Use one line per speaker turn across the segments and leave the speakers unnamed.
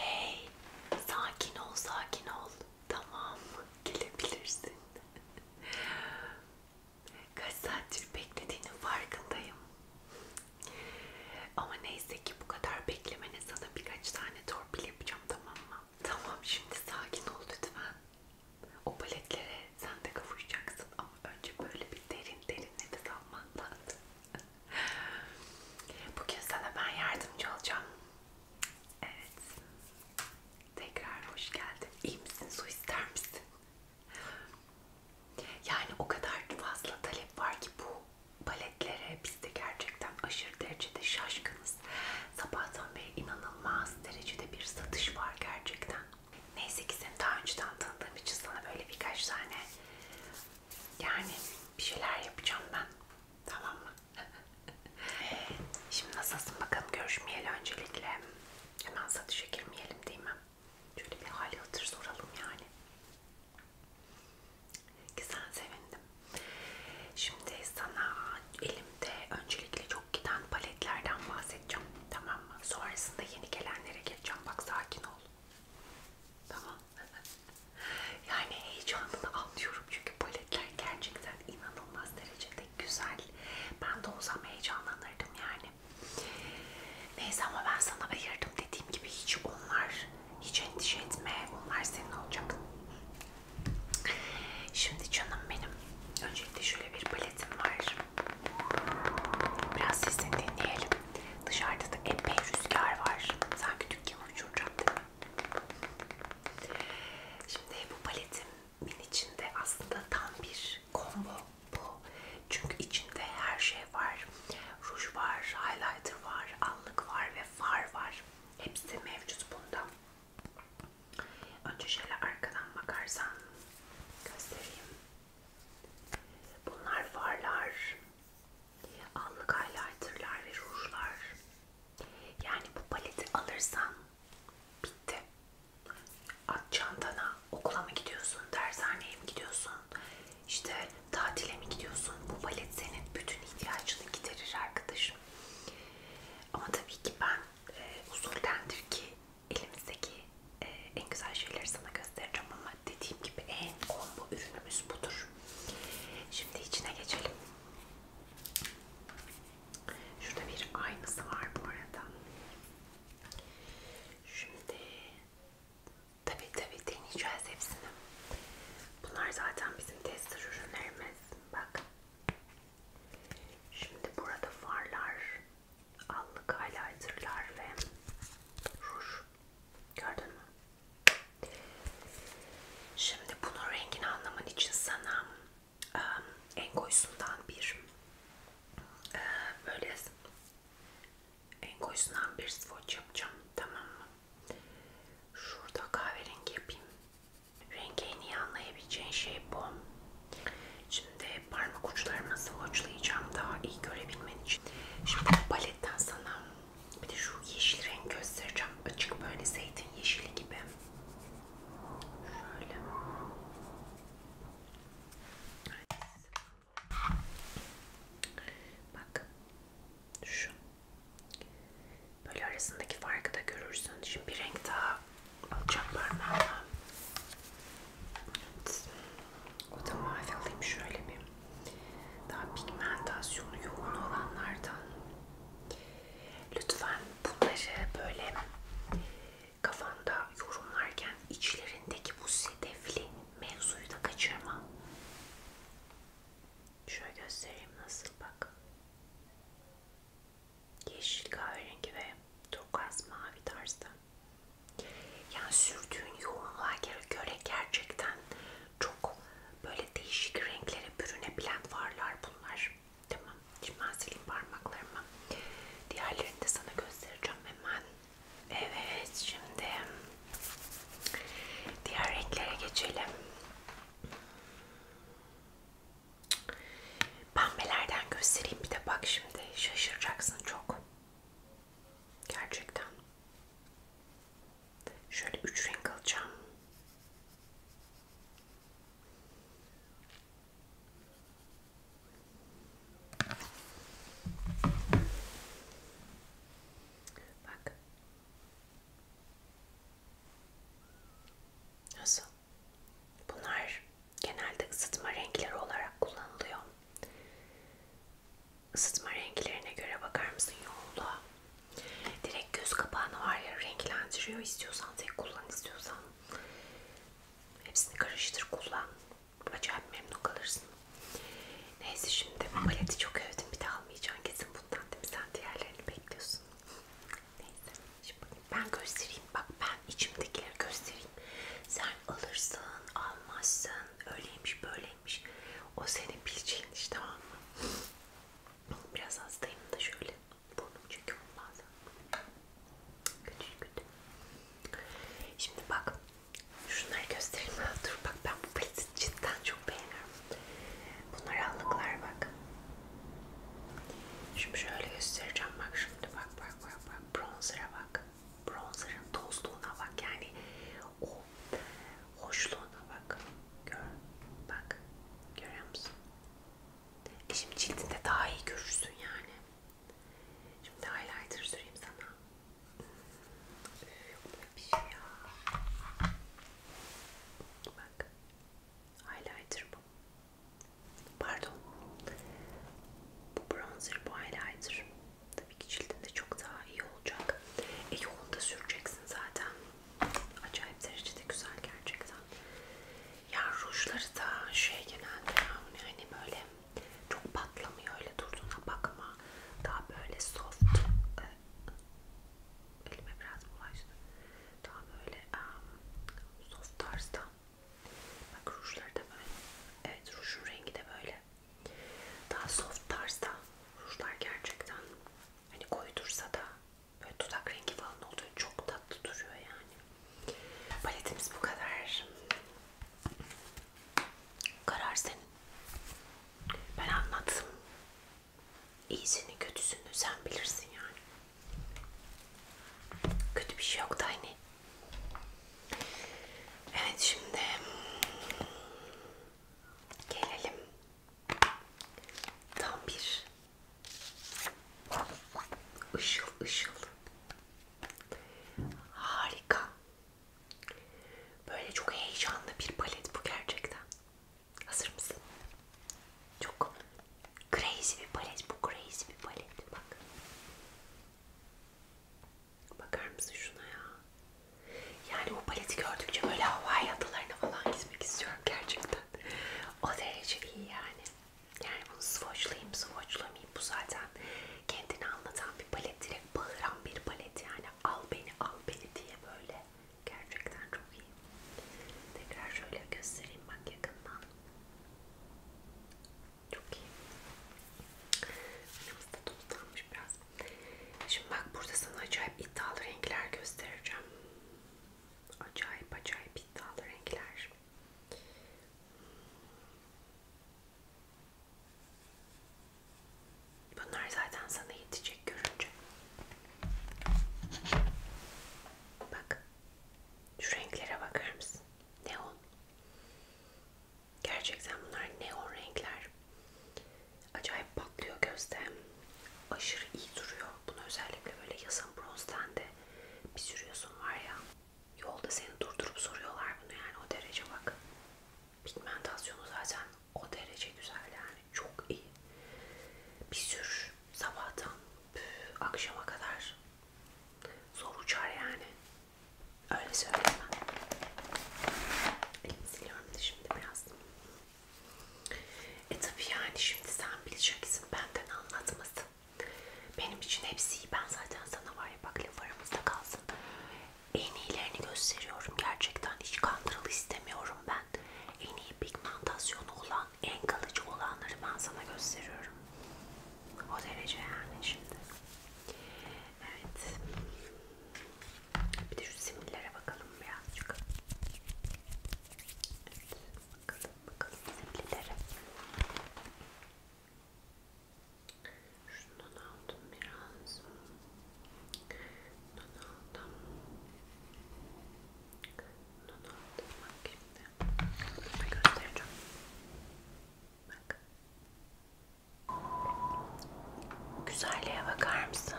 Hey, sakin ol, sakin ol. Tamam, gelebilirsin. Kaç saattir beklediğinin farkındayım. Ama neyse ki bu kadar beklemene sana birkaç tane torpil yapacağım tamam mı? Tamam, şimdi sakin ol lütfen. O paletlere sen de kavuşacaksın ama önce böyle bir derin derin nefes alman lazım. Bugün sana ben yardımcı olacağım. Evet. Tekrar hoş geldin. İyi misin? Su ister misin? Yani o kadar fazla talep var ki bu paletlere biz de gerçekten aşırı derecede şaşkınız. Sabahtan beri inanılmaz derecede bir satış var gerçekten. Neyse ki seni daha önceden tanıdığım için sana böyle birkaç tane yani bir şeyler yapacağım ben. Tamam mı? Şimdi nasılsın bakalım görüşmeyeli öncelikle. Hemen satışa girmeyelim değil mi? Şöyle bir hali hatır soralım yani. Güzel sevindim. Şimdi sana elimde öncelikle çok giden paletlerden bahsedeceğim. Tamam mı? Sonrasında yeni gelenlere geçeceğim. Bak sakin ol. Tamam. yani heyecanını anlıyorum çünkü paletler gerçekten inanılmaz derecede güzel. Ben de o zaman heyecanlanırdım yani. Neyse ama ben sana ayırdım dediğim gibi hiç onlar hiç endişe etme. Onlar senin olacak. Şimdi canım benim. Öncelikle şöyle bir paletim var. Biraz sesini dinleyelim. Dışarıda da epey rüzgar var. Sanki dükkanı uçuracak değil mi? Şimdi bu paletimin içinde aslında tam bir combo bu. Çünkü içinde her şey var. Ruj var, highlighter var, allık var ve far var. Hepsi mevcut bunda. Önce şöyle arkadan bakarsan göstereyim. Bunlar farlar. Allık highlighterlar ve rujlar. Yani bu paleti alırsan bitti. At çantana, okula mı gidiyorsun, dershaneye mi gidiyorsun, işte tatile mi gidiyorsun? Bu palet senin bütün ihtiyacını giderir arkadaşım. Ama tabii ki ben e, usuldendir ki elimizdeki e, en güzel şeyleri sana göstereceğim ama dediğim gibi en combo ürünümüz budur olur. Şimdi içine geçelim. Şurada bir aynası var bu arada. Şimdi tabi tabi deneyeceğiz hepsini. Bunlar zaten bizim tester ürünlerimiz. Bak. Şimdi burada farlar, allık highlighterlar ve ruj Gördün mü? Şimdi bunun rengini anlaman için sana um, en koyusundan bir e, böyle en koyusundan bir swatch yapacağım. Tamam mı? Şurada kahverengi yapayım. Rengi en iyi anlayabileceğin şey bu. Şimdi parmak uçlarımı swatchlayacağım daha iyi görebilmen için. Şimdi bu paletten sana bir de şu yeşil renk göstereceğim. Açık böyle zeytin yeşili gibi. Şöyle. Evet. Bak. Şu. Böyle arasındaki farkı da görürsün. Şimdi bir renk daha alacağım parmağıma. Evet. O da mavi alayım şöyle bir daha pigmentasyonu yoğun olanlardan. Lütfen bunları böyle kafanda yorumlarken içlerindeki bu sedefli mevzuyu da kaçırma. Şöyle göstereyim nasıl bak. Yeşil kahverengi ve turkuaz mavi tarzda. Yani sürdüğün yoğunluğa göre gerçekten çok Böyle değişik renklere bürünebilen varlar bunlar. Tamam. Şimdi ben sileyim parmaklarımı. Diğerlerini de sana göstereceğim hemen. Evet şimdi diğer renklere geçelim. Pembelerden göstereyim bir de bak şimdi şaşıracaksın çok. Gerçekten. Şöyle üç renk alacağım. Bak. Nasıl? Bunlar genelde ısıtma renkleri olarak kullanılıyor. Isıtma renklerine göre bakar mısın yoğunluğa? Direkt göz kapağını var ya renklendiriyor. İstiyorsan tek kullan istiyorsan. Hepsini karıştır kullan. Acayip memnun kalırsın. Neyse şimdi paleti çok övdüm. Bir de almayacaksın kesin bundan değil mi? Sen diğerlerini bekliyorsun. Neyse. Şimdi ben göstereyim. Bak ben içimdekileri göstereyim. Sen alırsın, almazsın. Öyleymiş, böyleymiş. O senin bileceğin iş tamam mı? Biraz hastayım da şöyle burnum çekiyor bazen. Kötü kötü. Şimdi bak. Şunları göstereyim. Dur bak ben bu paleti cidden çok beğeniyorum. Bunlar allıklar bak. Şimdi şöyle göstereceğim bak şimdi bak bak bak bak bronzer'a bak. Bronzer'ın tozluğuna bak yani o hoşluğuna bak. Gör. Bak. Görüyor musun? E şimdi cildinde daha iyi görürsün yani. Şimdi highlighter süreyim sana. Yok böyle bir şey ya. Bak. Highlighter bu. Pardon. Bu bronzer, bu highlighter. Tabii ki cildinde çok daha iyi olacak. E yoğun da süreceksin zaten. Acayip derecede güzel gerçekten. Ya rujları da şey genelde yani hani böyle çok patlamıyor öyle durduğuna bakma. Daha böyle soft. E, elime biraz bulaştı. Daha böyle um, soft tarzda. Bak rujları da böyle. Evet rujun rengi de böyle. Daha soft tarzda rujlar gerçekten. Hani koydursa da Böyle dudak rengi falan oluyor. Çok tatlı duruyor yani. Paletimiz bu kadar. Karar senin. Ben anlattım. İyisini kötüsünü sen bilirsin yani. Kötü bir şey yok da hani. Evet şimdi gelelim Tam bir ışıl ışıl. Harika. Böyle çok heyecanlı bir palet bu gerçekten. Hazır mısın? Çok crazy bir palet bu. Crazy bir palet. Bak. Bakar mısın şuna ya? Yani bu paleti gördükçe böyle havai adalarına falan gitmek istiyorum gerçekten. O derece iyi yani. Yani bunu swatchlayayım, swatchlamayayım. Bu zaten kendini anlatan bir palet. Direkt bağıran bir palet yani. Al beni, al beni diye böyle. Gerçekten çok iyi. Tekrar şöyle göstereyim bak yakından. Çok iyi. Yanımızda tozlanmış biraz. Şimdi bak burada sana acayip iddialı renkler göstereceğim. Acayip acayip iddialı renkler. Bunlar zaten sana yetecek görünce. Bak. Şu renklere bakar mısın? Neon. Gerçekten bunlar neon renkler acayip patlıyor gözde. Aşırı iyi duruyor. Bunu özellikle böyle yazın bronzdan de bir sürüyorsun var ya. Yolda seni durdurup soruyorlar bunu yani o derece bak. Pigmentasyonu zaten o derece güzel yani çok iyi. Bir sür sabahtan püf, akşama kadar zor uçar yani. Öyle söyleyeyim ben. Elimi siliyorum da şimdi biraz. E tabi yani şimdi sen bileceksin benden anlatmasın. Benim için hepsi iyi. Ben zaten sana var ya bak laf aramızda kalsın. En iyilerini gösteriyorum. Gerçekten hiç kandıralı istemiyorum ben. En iyi pigmentasyonu olan, en kalıcı olanları ben sana gösteriyorum. O derece yani şimdi. Evet. Bir de şu simillere bakalım birazcık. Evet, bakalım bakalım zipleri. Şundan aldım biraz. Bundan aldım. Bundan aldım. Bak şimdi. Bunu göstereceğim. Bak. Güzelliğe bakar mısın?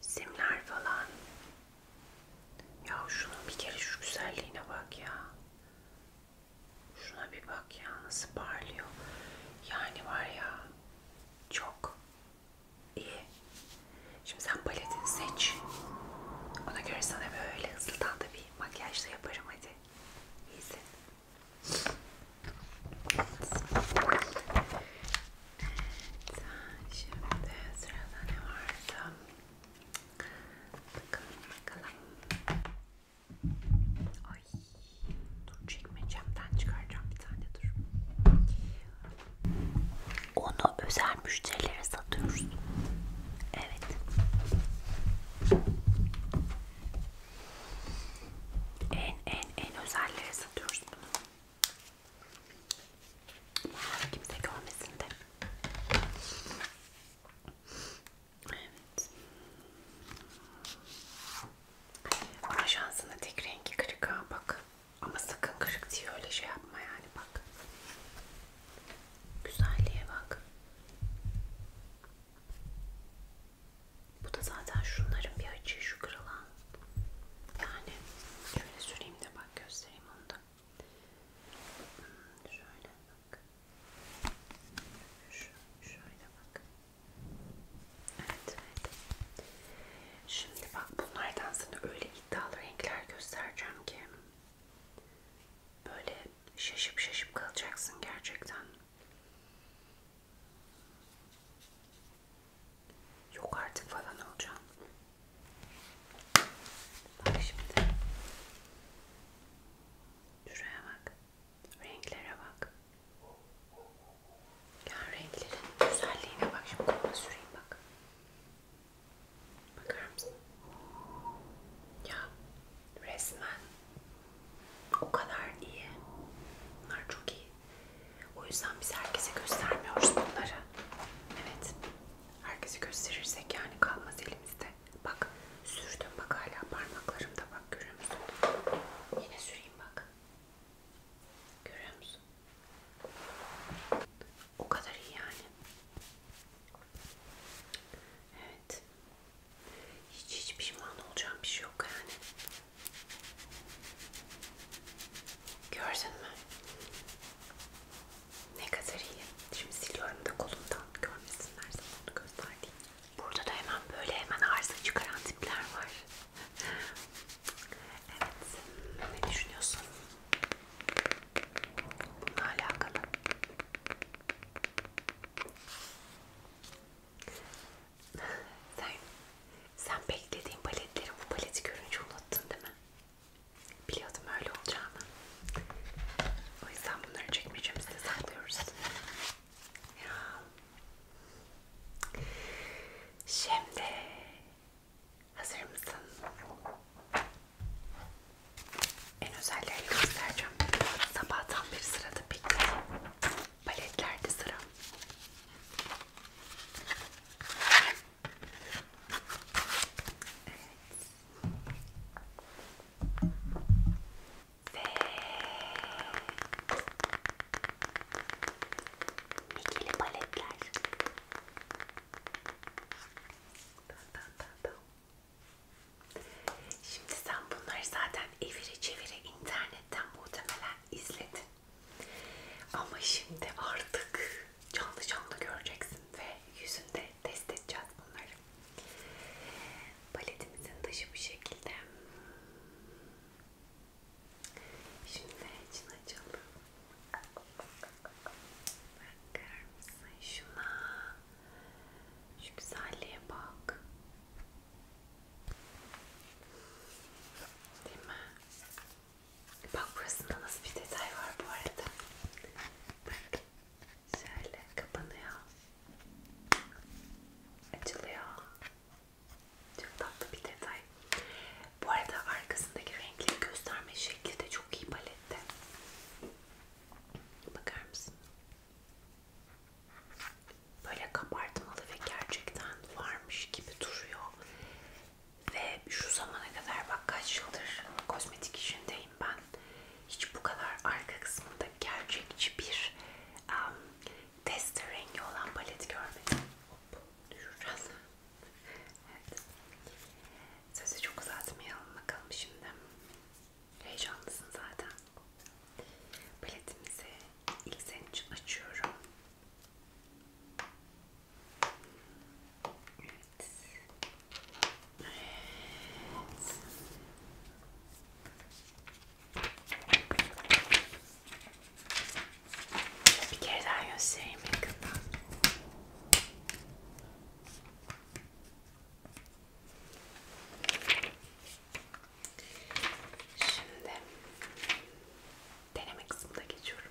simler falan. Ya şunun bir kere şu güzelliğine bak ya. Şuna bir bak ya nasıl parlıyor. Yani var ya çok iyi. Şimdi sen paletini seç. Ona göre sana böyle hızlıdan da bir makyajla yaparım hadi. İyisin. Şimdi sırada ne vardı? Bakalım bakalım. Ay, dur çekmecemden çıkaracağım bir tane dur. Onu özel müşterilere satıyoruz. Evet. En en en özellere satıyoruz bunu. Buraları kimse görmesin de. Evet. Ama şansına tek rengi kırık ha bak. Ama sakın kırık diye öyle şey yapma yani bak. Güzelliğe bak. Bu da zaten şunların bir açığı şu kırılan yani şöyle süreyim de bak göstereyim onu da şöyle bak Şu, şöyle bak evet evet şimdi bak bunlardan sana öyle iddialı renkler göstereceğim ki böyle şaşıp şaşıp kalacaksın gerçekten Yok artık falan olacağım. Bak şimdi. Şuraya bak. Renklere bak. Ya renklerin güzelliğine bak. Şimdi koluma süreyim bak. Bakar mısın? Ya resmen o kadar iyi. Bunlar çok iyi. O yüzden biz herkese göstermiyoruz bunları. Evet. Herkese gösterirsek yani kalmaz elimizde. Bak sürdüm bak hala parmaklarımda bak görüyor musun? Yine süreyim bak. Görüyor musun? O kadar iyi yani. Evet. Hiç hiç pişman olacağım bir şey yok yani. Gördün mü? Ne kadar iyi. Şimdi siliyorum da kolumdan görmesinler zamanı gösterdiğim. Burada da hemen böyle hemen arıza çıkaran tipler var. Evet. Ne düşünüyorsun? Bununla alakalı. Sen sen beklediğin paletlerin bu paleti görünce unuttun değil mi? Biliyordum öyle olacağını. O yüzden bunları çekmecemizde saklıyoruz. Ya. Şimdi hazır mısın? En özelleri göstereceğim. Sabahtan beri sırada bekliyorum. Paletlerde sıra. Ve ikili paletler. Tamam, tamam, tamam. Şimdi sen bunları zaten evire çevire internetten muhtemelen izledin. Ama şimdi artık canlı canlı göreceksin ve yüzünde test edeceğiz bunları. Paletimizin dışı bu şekilde. Şimdi için açalım. Bakar mısın şuna? Şu güzelliğe bak. Değil mi? Bak burasında nasıl bir detay var bu arada. Bak şöyle kapanıyor. Açılıyor. Çok tatlı bir detay. Bu arada arkasındaki renkleri gösterme şekli de çok iyi palette. Bakar mısın? Böyle kabartmalı ve gerçekten varmış gibi duruyor. Ve şu zamana kadar bak kaç yıldır kozmetik işindeyim ben. Hiç bu kadar arka kısmında gerçekçi bir um, tester rengi olan palet görmedim. Hop düşüreceğiz. evet. Sözü çok uzatmayalım bakalım şimdi. Heyecanlısın zaten. Paletimizi ilk senin için açıyorum. Evet. Evet. Bir kere daha göstereyim yakından. Şimdi deneme kısmına geçiyorum.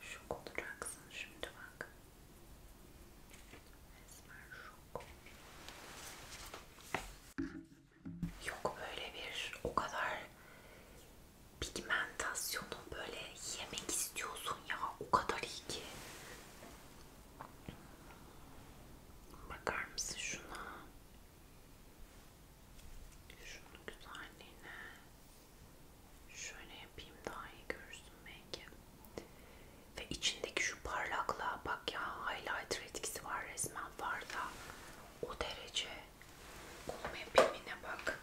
Şok olacaksın şimdi bak. Resmen şok. Yok böyle bir o kadar pigmentasyonu böyle yemek istiyorsun ya o kadar iyi ki. Bakar mısın şuna? Şunun güzelliğine. Şöyle yapayım daha iyi görürsün belki. Ve içindeki şu parlaklığa bak ya highlighter etkisi var resmen var da o derece. Kolum yapayım bak.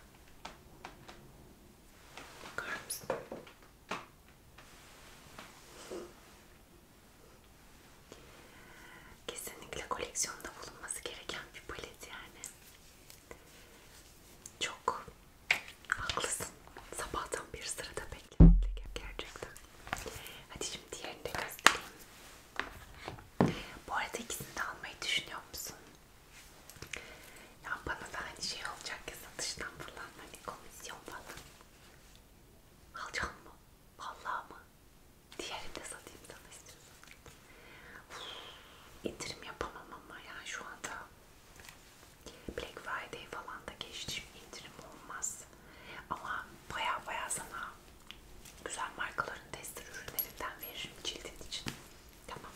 Bakar mısın? Kesinlikle koleksiyonda bulunması gereken bir palet yani. Çok haklısın. Sabahtan bir sırada bekledik gerçekten. Hadi şimdi diğerini de göstereyim. Bu arada ikisini de almayı düşünüyor musun? Ya bana da aynı hani şey olacak ya satıştan falan hani komisyon falan. Alacağım mı? Vallahi mı? Diğerini de satayım sana istiyorsan. Yatırım yapamam ama yani şu anda Black Friday falan da geçti indirim olmaz. Ama baya baya sana güzel markaların test ürünlerinden veririm cildin için. Tamam.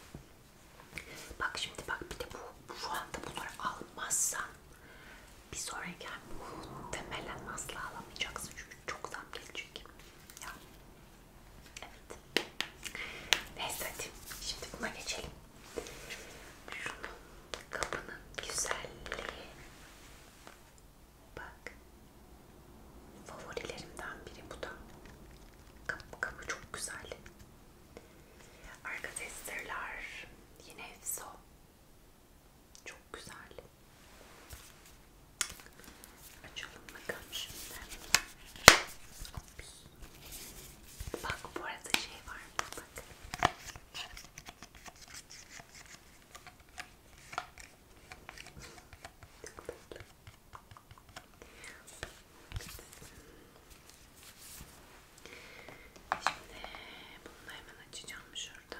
Bak şimdi bak bir de bu şu anda bunları almazsan bir sonraki ay muhtemelen asla alamayacaksın çünkü çok zam gelecek. Ya. Evet. Neyse hadi şimdi buna geçelim. Şunun kapının güzelliği. Bak. Favorilerimden biri bu da. Kapı, kapı çok güzel. Arka testerler. Yine Evso. Çok güzel. Açalım bakalım şimdi. Ops. Bak bu arada şey var mı? Bak. Çok tatlı. Şimdi bunu da hemen açacağım şuradan.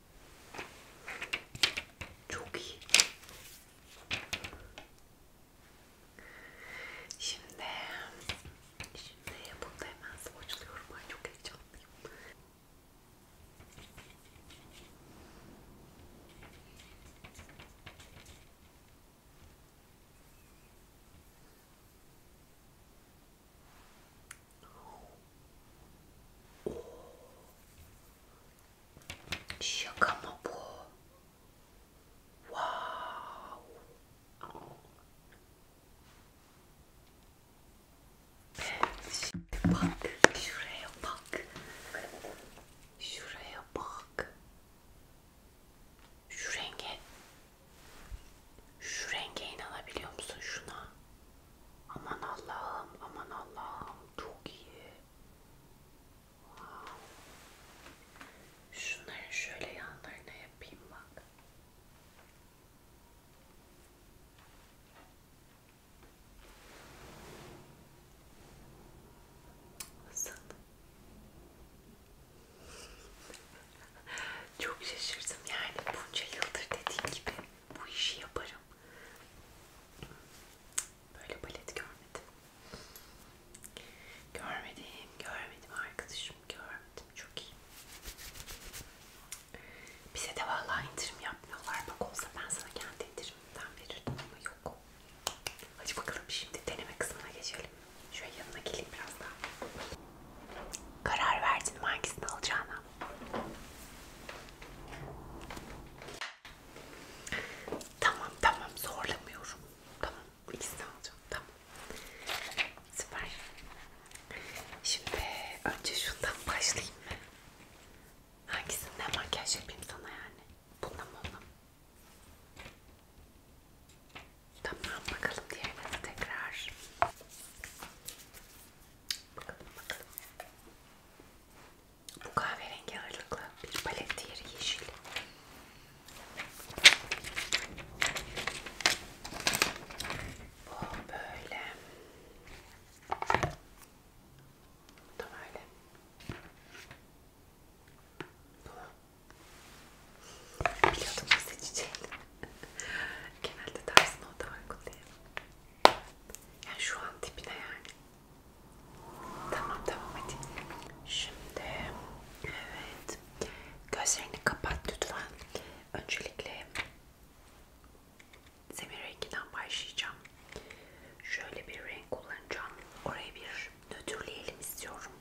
Çok iyi. Şimdi, şimdi bunu da hemen soğuçluyorum. Ay çok heyecanlıyım. Şaka mı bu? Wow. Şimdi bak şuraya bak. Şuraya bak. Şu renge. Şu renge inanabiliyor musun şuna? Aman Allah'ım, aman Allah'ım çok iyi. Wow. Şunları şöyle yanlarına yapayım bak. Nasıl? Çok şaşırdım yani bunca yıldır dediğim gibi bu işi yaparım yapacağım. Böyle balet görmedim. Görmedim, görmedim arkadaşım, görmedim. Çok iyi. Bize de vallahi indirim yapmıyorlar. Bak olsa ben sana kendi indirimden verirdim ama yok. Hadi bakalım şimdi deneme kısmına geçelim. Şöyle yanına geleyim biraz daha. Karar verdin mi hangisini alacağına? Tamam tamam zorlamıyorum. Tamam ikisini alacağım. Tamam. Süper. Şimdi önce şundan başlayayım mı? Hangisinden makyaj yapayım sana yani? Bununla mı onunla mı? Tamam bakalım diğerine de tekrar. Bakalım bakalım. Bu kahverengi ağırlıklı bir palet diğeri yeşil. Bu böyle. Tam öyle. Bu. Biliyordum seçeceğim. Genelde tersine o da uygun değil. Yani şu an tipine yani. Tamam tamam hadi. Şimdi evet. Gözlerini kapat lütfen. Öncelikle zemin renginden başlayacağım. Şöyle bir renk kullanacağım. Oraya bir nötrleyelim istiyorum.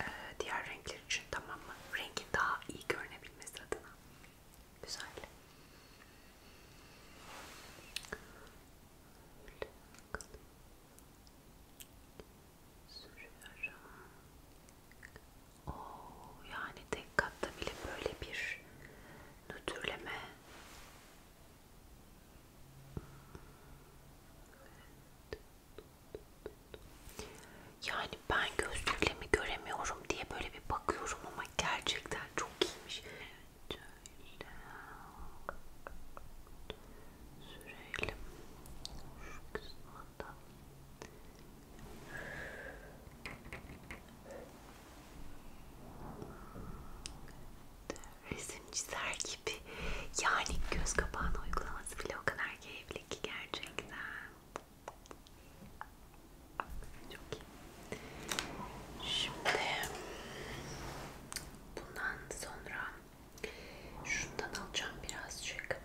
Ee, diğer renkler için tamam mı? Rengin daha iyi görünebilmesi adına. Güzel. Sürüyorum. Oo, yani tek katta bile böyle bir nötrleme. Evet. Yani ben gözlükle mi göremiyorum diye böyle bir bakıyorum ama gerçekten çok iyiymiş şöyle sürelim şu kısmında resim çizer gibi yani göz kapağına uygulaması bile o kadar keyifli ki gerçekten çok iyi. Şimdi bundan sonra şundan alacağım birazcık.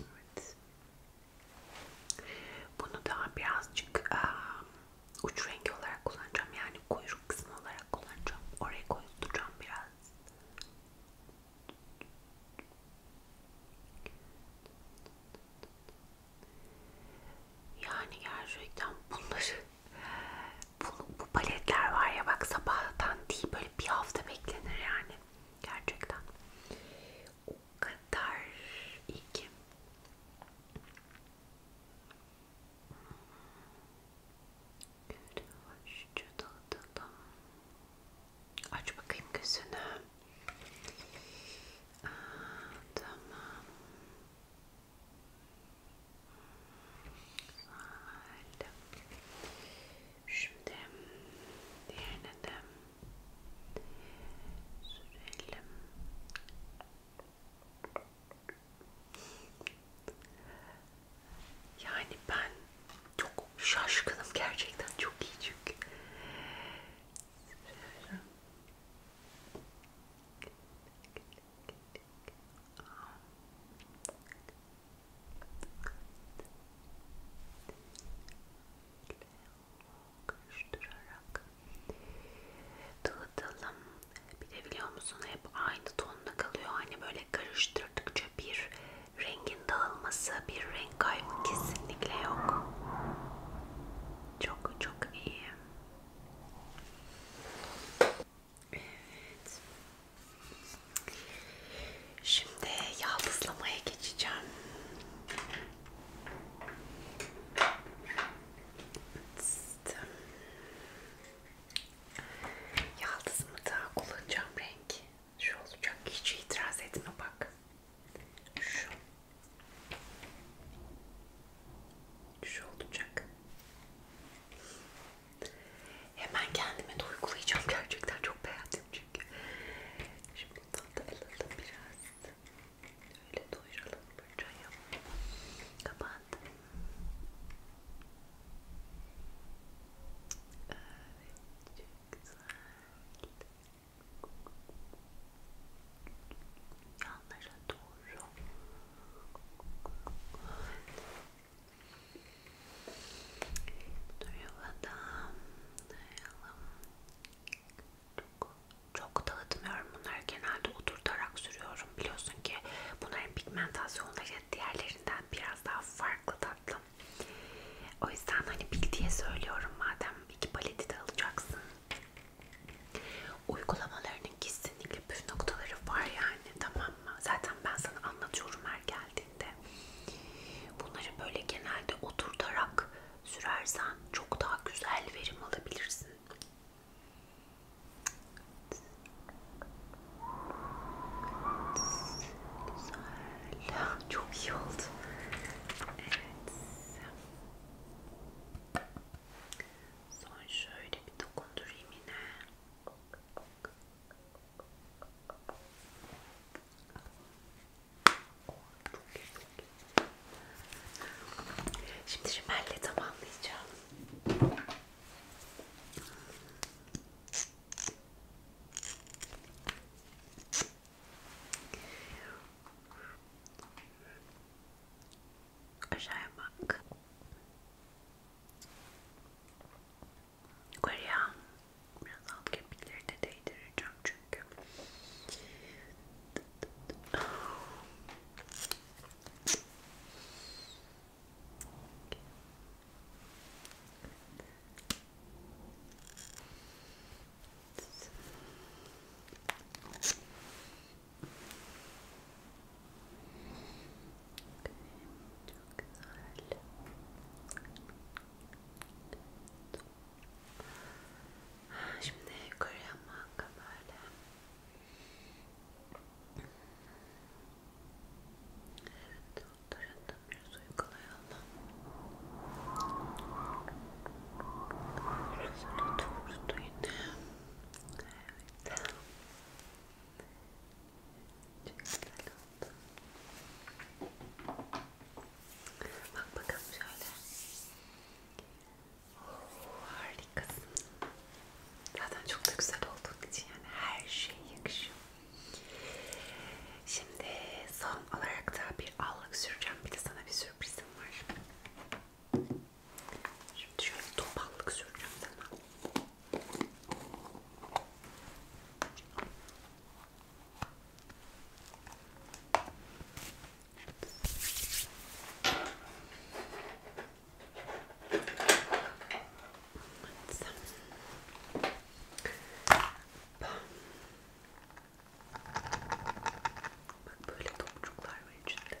Evet. Bunu daha birazcık um, uç rengi olarak kullanacağım. Yani kuyruk kısmı olarak kullanacağım. Oraya koyutacağım biraz. Yani gerçekten bunları bu, bu paletler var ya bak sabahtan değil böyle bir hafta beklenir yani gerçekten o kadar iyi ki Şöyle açıcı dağıtalım. Aç bakayım gözünü. Aa, tamam. Güzel. Şimdi diğerine de sürelim. Yani ben çok şaşkınım gerçekten çok iyi çünkü Şöyle. Karıştırarak dağıtalım. Bir de biliyor musun hep aynı tonda kalıyor. Hani böyle karıştırdıkça bir rengin dağılması, bir renk kaybı kesinlikle yok. Çok çok iyi. Evet. Şimdi yaldızlamaya geçeceğim. Yaldızımı da kullanacağım renk. Şu olacak. Hiç itiraz etme bak. Şu. Şu olacak. Hemen kendime de uygulayacağım. Gerçekten çok beğendim çünkü. Şimdi bundan da alalım biraz. Öyle doyuralım burcayı. Kapattım. Evet, çok güzel yanlara doğru duyuvadan dayalım çok, çok dağıtmıyorum bunları genelde oturtarak sürüyorum biliyorsun ki bunların pigmentasyonları diğerlerinden biraz daha farklı tatlım o yüzden hani bil diye söylüyorum madem iki paleti de alacaksın. Uygulamalarının kesinlikle püf noktaları var yani tamam mı? Zaten ben sana anlatıyorum her geldiğinde. Bunları böyle genelde oturtarak sürersen çok daha güzel verim alabilirsin. Güzel. Çok iyi oldu. Evet. Son şöyle bir dokundurayım yine. Şimdi şimelle tamamlayacağım. Aşağıya bak. Yukarıya biraz alt kemikleri de değdireceğim çünkü. Çok güzel. Şimdi yukarıya manga böyle. Evet, doktorun da biraz uygulayalım. Şurasına tuttu yine. Evet. Çok güzel oldu. Bak bakalım şöyle. Oh, harikasın. Zaten çok da güzel olduğun için yani her şey yakışıyor. Şimdi son olarak da bir allık süreceğim. Bir de sana bir sürpriz isim var. Şimdi şöyle topallık süreceğim sana. Evet. Bak böyle topçuklar var içinde.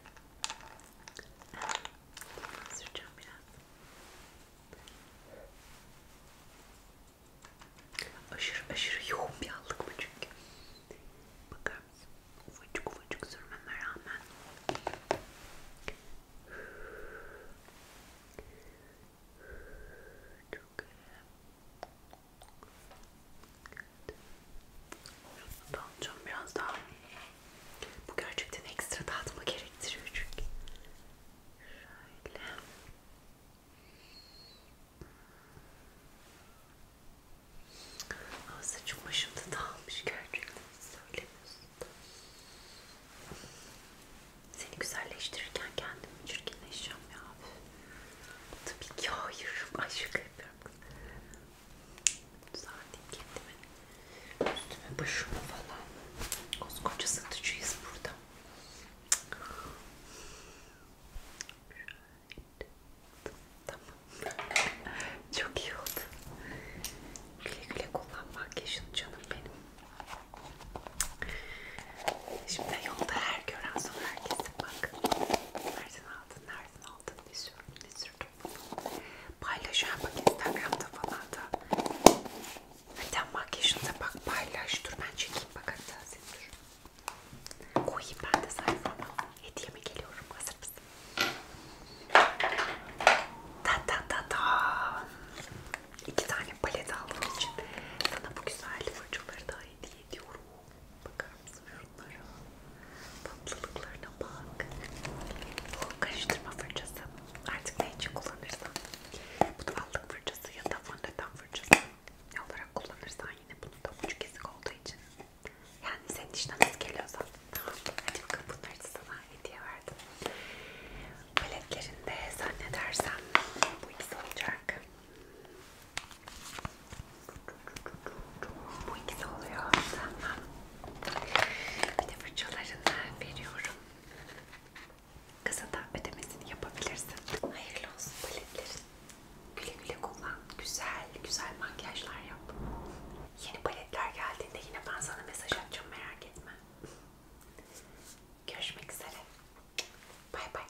Bunu süreceğim biraz. Aşırı aşırı yoğun bir allık bu çünkü. Bakar mısın? Ufacık ufacık sürmeme rağmen. Çok iyi. Şunu da alacağım biraz daha. Bu gerçekten ekstra dağıtma gerektiriyor çünkü. Şöyle. Ama saçım başımda dağılmış gerçekten. Söylemiyorsun da. Seni güzelleştirirken kendimi çirkinleşeceğim ya. Tabii ki hayır. Ay şaka yapıyorum kız. Düzelteyim kendimi. Üstüme başımı falan. Koskoca satıcıyız burada. Tamam. Çok iyi oldu. Güle güle kullan makyajını canım benim. Şimdi yolda her gören sonra herkes Artık bak. Nereden aldın, nereden aldın, ne sürdün, ne sürdün bunu. Paylaşıyorum bak Instagram'da falan da. Hatta makyajında bak paylaş. Dur ben çekeyim bak hatta sen dur. Koyayım ben de sayfama. Hediyeme geliyorum. Hazır mısın? Ta ta ta ta. İki tane palet aldığım için sana bu güzel fırçaları da hediye ediyorum. Bakar mısın şunlara? Tatlılıklarına bak. Bu karıştırma fırçası. Artık ne için kullanırsan. Bu da allık fırçası ya da fondöten fırçası. Ne olarak kullanırsan yine bunu da ucu kesik olduğu için. Yani senin işten az geliyorsa. Tamam. Hadi bakalım bunları da sana hediye verdim. Paletlerinde zannedersem bu ikisi olacak. Bu ikisi oluyor. Tamam. Bir de fırçalarını veriyorum. Kısa da ödemesini yapabilirsin. Hayırlı olsun paletlerin. Güle güle kullan. Güzel, güzel makyajlar yap. Yeni paletler geldiğinde yine ben sana mesaj atacağım merak etme. Görüşmek üzere. Bay bay.